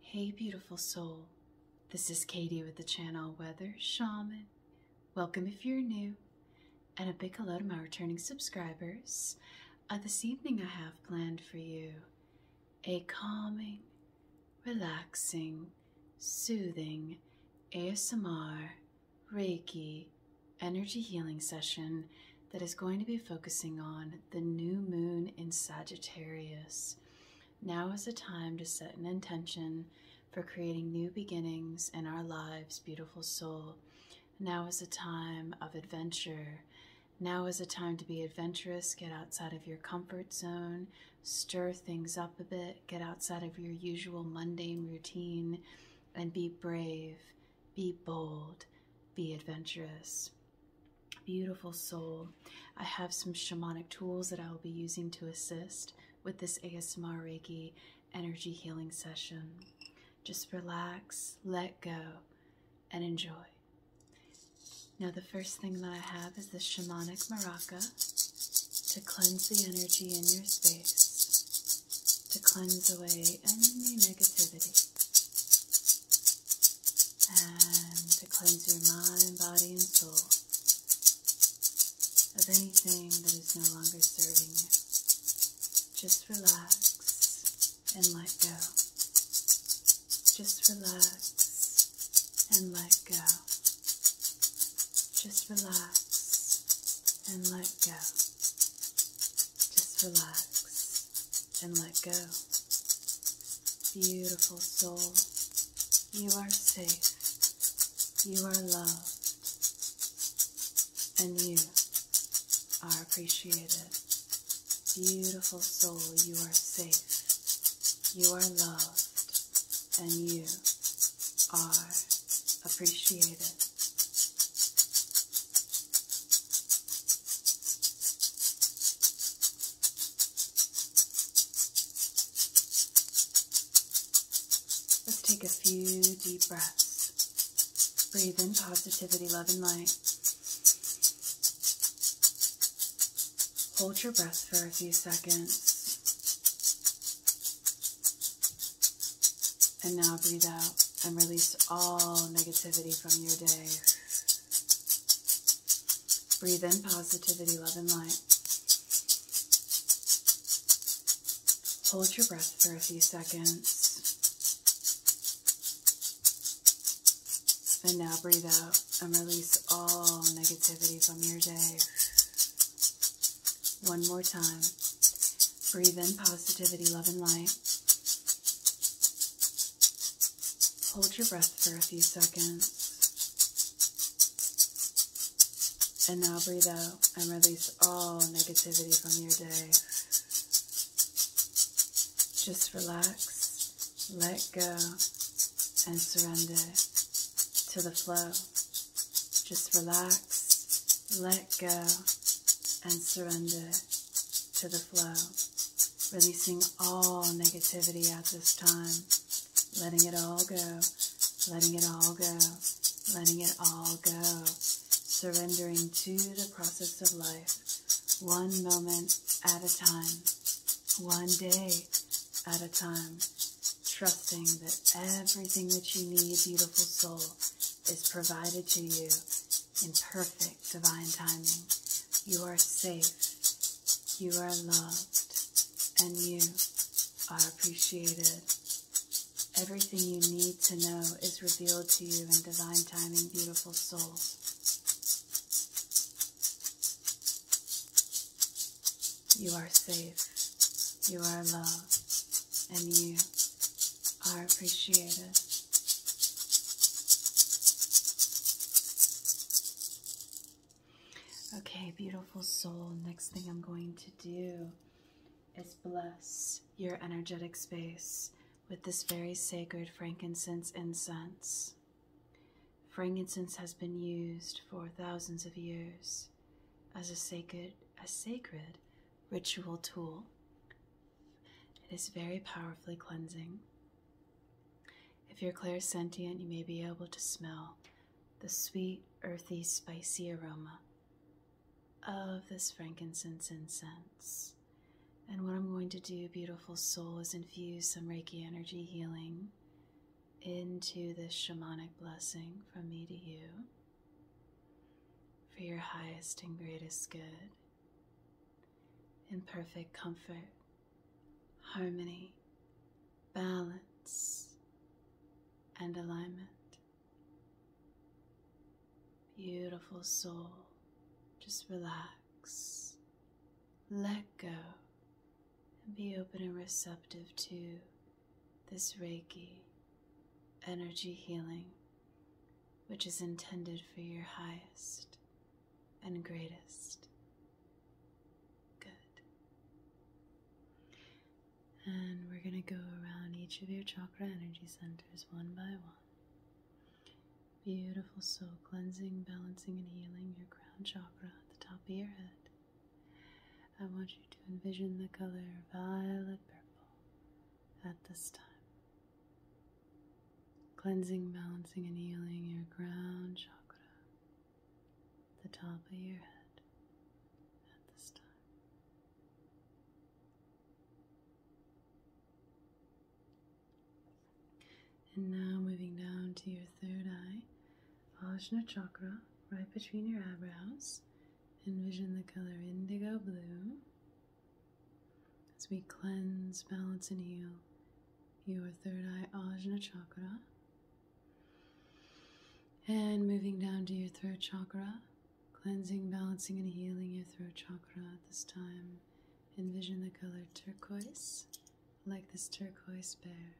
Hey, beautiful soul. This is Katie with the channel Weather Shaman. Welcome if you're new, and a big hello to my returning subscribers. Uh, this evening, I have planned for you a calming, relaxing, soothing ASMR Reiki energy healing session that is going to be focusing on the new moon in Sagittarius. Now is the time to set an intention for creating new beginnings in our lives, beautiful soul. Now is the time of adventure. Now is the time to be adventurous, get outside of your comfort zone, stir things up a bit, get outside of your usual mundane routine, and be brave, be bold, be adventurous. Beautiful soul. I have some shamanic tools that I will be using to assist with this ASMR Reiki energy healing session. Just relax, let go, and enjoy. Now, the first thing that I have is this shamanic maraca to cleanse the energy in your space, to cleanse away any negativity and to cleanse your mind, body, and soul of anything that is no longer serving you. Just relax and let go. Just relax and let go. Just relax and let go. Just relax and let go. Beautiful soul, you are safe, you are loved, and you are appreciated. Beautiful soul, you are safe, you are loved, and you are appreciated. Let's take a few deep breaths. Breathe in positivity, love, and light. Hold your breath for a few seconds. And now breathe out and release all negativity from your day. Breathe in positivity, love, and light. Hold your breath for a few seconds. And now breathe out and release all negativity from your day. One more time. Breathe in positivity, love, and light. Hold your breath for a few seconds. And now breathe out and release all negativity from your day. Just relax, let go, and surrender to the flow. Just relax, let go, and surrender to the flow. Releasing all negativity at this time. Letting it all go. Letting it all go. Letting it all go. Surrendering to the process of life. One moment at a time. One day at a time. Trusting that everything that you need, beautiful soul, is provided to you in perfect divine timing. You are safe. You are loved and you are appreciated. Everything you need to know is revealed to you in divine timing, beautiful soul. You are safe. You are loved and you are appreciated. Okay, beautiful soul. Next thing I'm going to do is bless your energetic space with this very sacred frankincense incense. Frankincense has been used for thousands of years as a sacred, a sacred ritual tool. It is very powerfully cleansing if you're clair sentient, you may be able to smell the sweet, earthy, spicy aroma of this frankincense incense. And what I'm going to do, beautiful soul, is infuse some Reiki energy healing into this shamanic blessing from me to you for your highest and greatest good in perfect comfort harmony, balance, and alignment. Beautiful soul, just relax, let go, and be open and receptive to this Reiki energy healing, which is intended for your highest and greatest good. And we're going to go around each of your chakra energy centers one by one. Beautiful soul cleansing, balancing, and healing your crown chakra at the top of your head. I want you to envision the color violet purple at this time. Cleansing, balancing, and healing your crown chakra, the top of your head at this time. And now moving down to your third eye, Ajna chakra, right between your eyebrows. Envision the color indigo blue as we cleanse, balance, and heal your third eye ajna chakra. And moving down to your throat chakra, cleansing, balancing, and healing your throat chakra at this time. Envision the color turquoise, like this turquoise bear.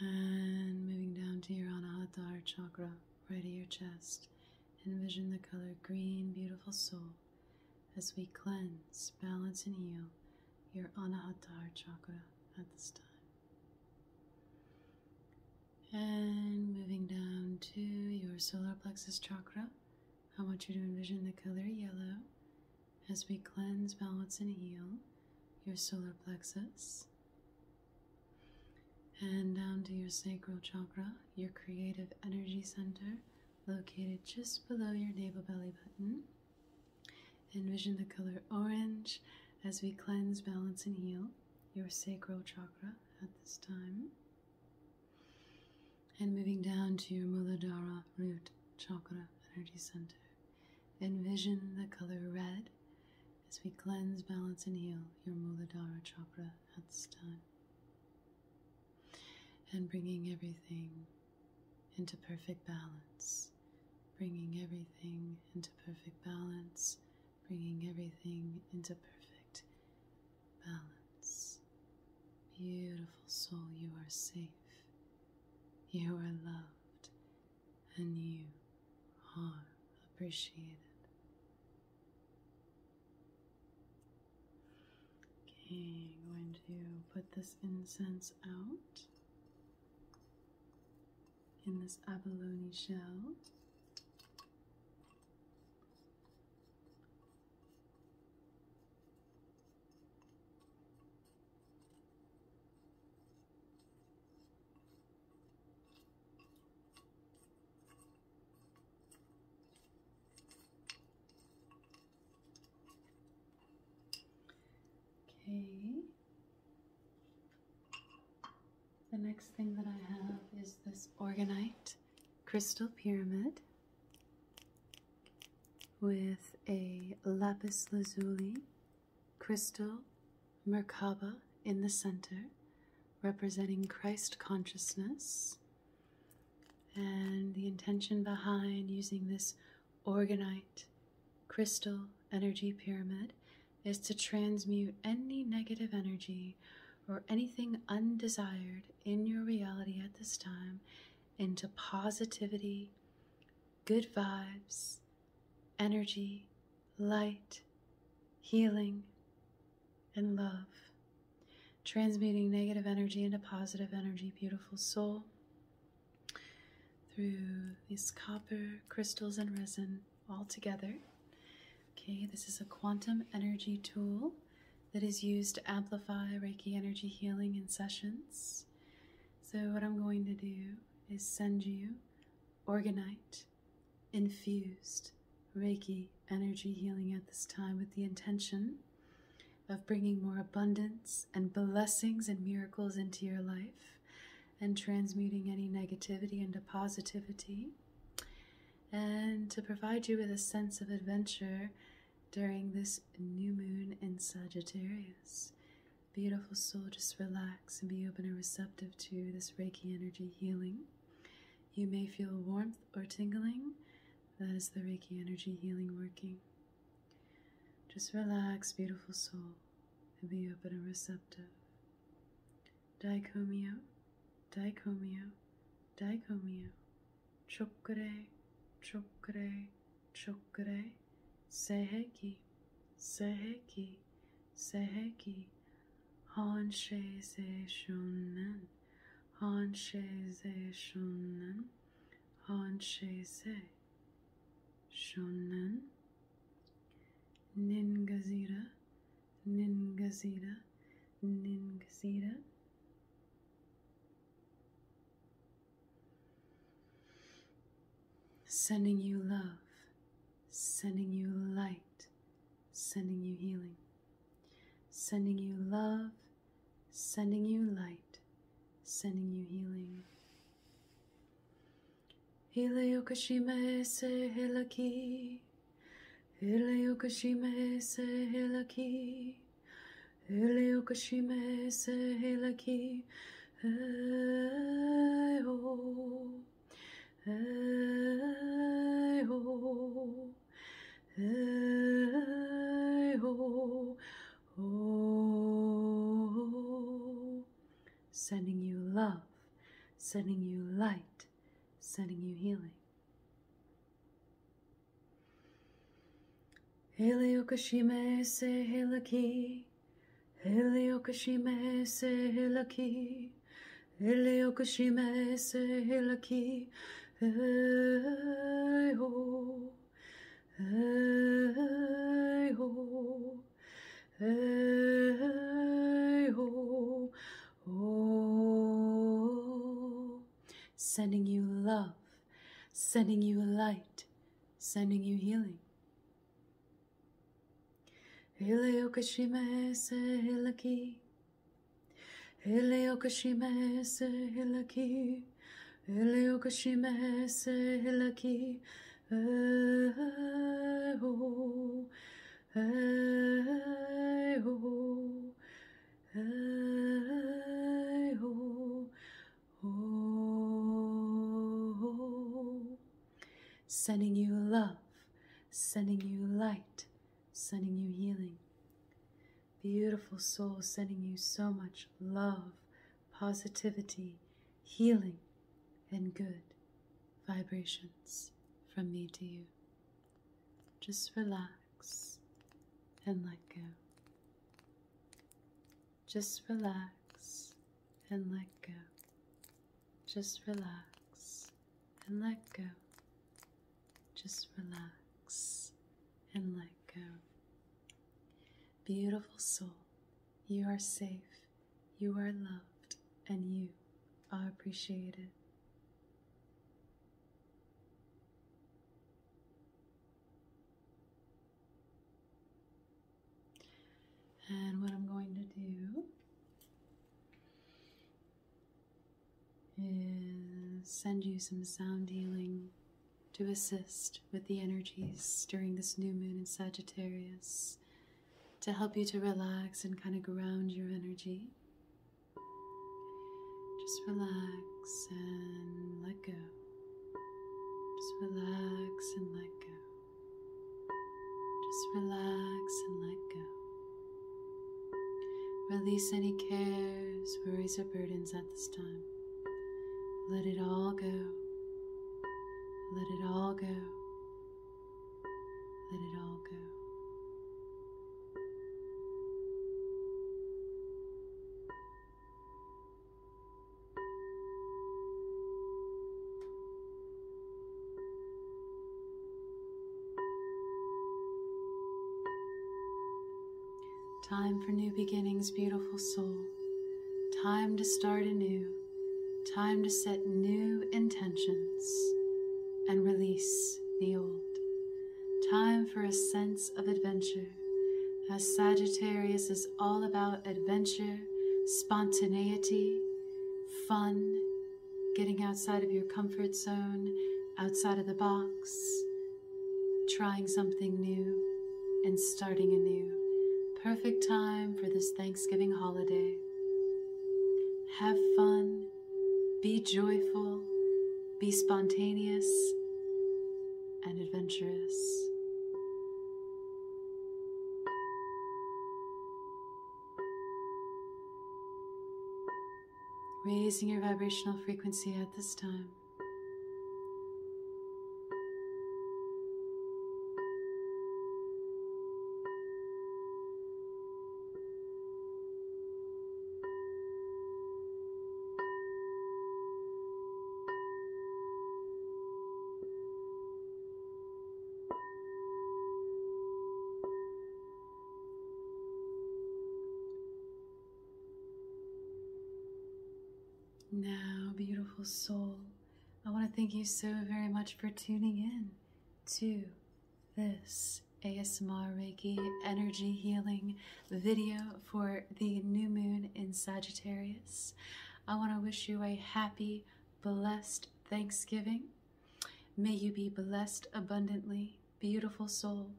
And moving down to your Anahata heart chakra, right at your chest. Envision the color green, beautiful soul as we cleanse, balance, and heal your Anahata chakra at this time. And moving down to your solar plexus chakra, I want you to envision the color yellow as we cleanse, balance, and heal your solar plexus. And down to your sacral chakra, your creative energy center located just below your navel belly button. Envision the color orange as we cleanse, balance, and heal your sacral chakra at this time. And moving down to your Muladhara root chakra energy center, envision the color red as we cleanse, balance, and heal your Muladhara chakra at this time and bringing everything into perfect balance, bringing everything into perfect balance, bringing everything into perfect balance. Beautiful soul, you are safe, you are loved, and you are appreciated. Okay, going to put this incense out in this abalone shell. Okay. The next thing that I have is this organite crystal pyramid with a lapis lazuli crystal Merkaba in the center, representing Christ consciousness and the intention behind using this organite crystal energy pyramid is to transmute any negative energy or anything undesired in your reality at this time into positivity, good vibes, energy, light, healing, and love, transmuting negative energy into positive energy, beautiful soul, through these copper crystals and resin all together. Okay, this is a quantum energy tool that is used to amplify Reiki energy healing in sessions. So, what I'm going to do is send you organite infused Reiki energy healing at this time with the intention of bringing more abundance and blessings and miracles into your life and transmuting any negativity into positivity and to provide you with a sense of adventure during this new moon in Sagittarius. Beautiful soul, just relax and be open and receptive to this Reiki energy healing. You may feel warmth or tingling. That is the Reiki energy healing working. Just relax, beautiful soul, and be open and receptive. Daikomyo, daikomyo, daikomyo. Chokure, chokure, chokure. Seheki, seheki, seheki. Hanşe zeşunnen, hanşe zeşunnen, hanşe zeşunnen. Nin gazira, nin Sending you love, sending you light, sending you healing sending you love, sending you light, sending you healing. Hele Yokoshima se helaki. Hele Yokoshima se helaki. Hele se helaki. Hey ho. Sending you love, sending you light, sending you healing. Heliokashime se helaki. Heliokashime se helaki. Ele o oh. sending you love sending you light sending you healing Ele o Eleokashimese hilaki, Eleokashimese hilaki, oh, oh, oh, oh. Sending you love, sending you light, sending you healing. Beautiful soul, sending you so much love, positivity, healing, and good vibrations from me to you. Just relax and let go. Just relax and let go. Just relax and let go. Just relax and let go. Beautiful soul, you are safe, you are loved, and you are appreciated. And what I'm going to do is send you some sound healing to assist with the energies during this new moon in Sagittarius to help you to relax and kind of ground your energy. Just relax and let go. Just relax and let go. Just relax and let go. Release any cares, worries, or burdens at this time. Let it all go. Let it all go. Let it all go. Time for new beginnings, beautiful soul. Time to start anew. Time to set new intentions and release the old. Time for a sense of adventure, as Sagittarius is all about adventure, spontaneity, fun, getting outside of your comfort zone, outside of the box, trying something new, and starting anew. Perfect time for this Thanksgiving holiday. Have fun, be joyful, be spontaneous, and adventurous raising your vibrational frequency at this time. Now, beautiful soul, I want to thank you so very much for tuning in to this ASMR Reiki energy healing video for the new moon in Sagittarius. I want to wish you a happy, blessed Thanksgiving. May you be blessed abundantly beautiful soul.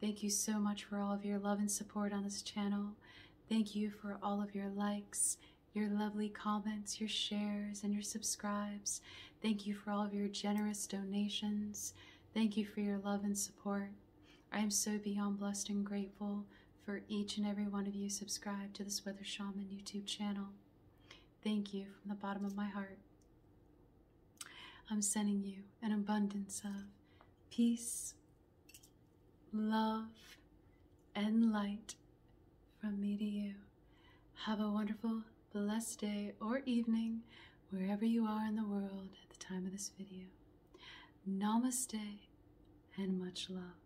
Thank you so much for all of your love and support on this channel. Thank you for all of your likes, your lovely comments, your shares, and your subscribes. Thank you for all of your generous donations. Thank you for your love and support. I am so beyond blessed and grateful for each and every one of you subscribed to this Weather Shaman YouTube channel. Thank you from the bottom of my heart. I'm sending you an abundance of peace, love, and light from me to you. Have a wonderful, blessed day or evening, wherever you are in the world at the time of this video. Namaste and much love.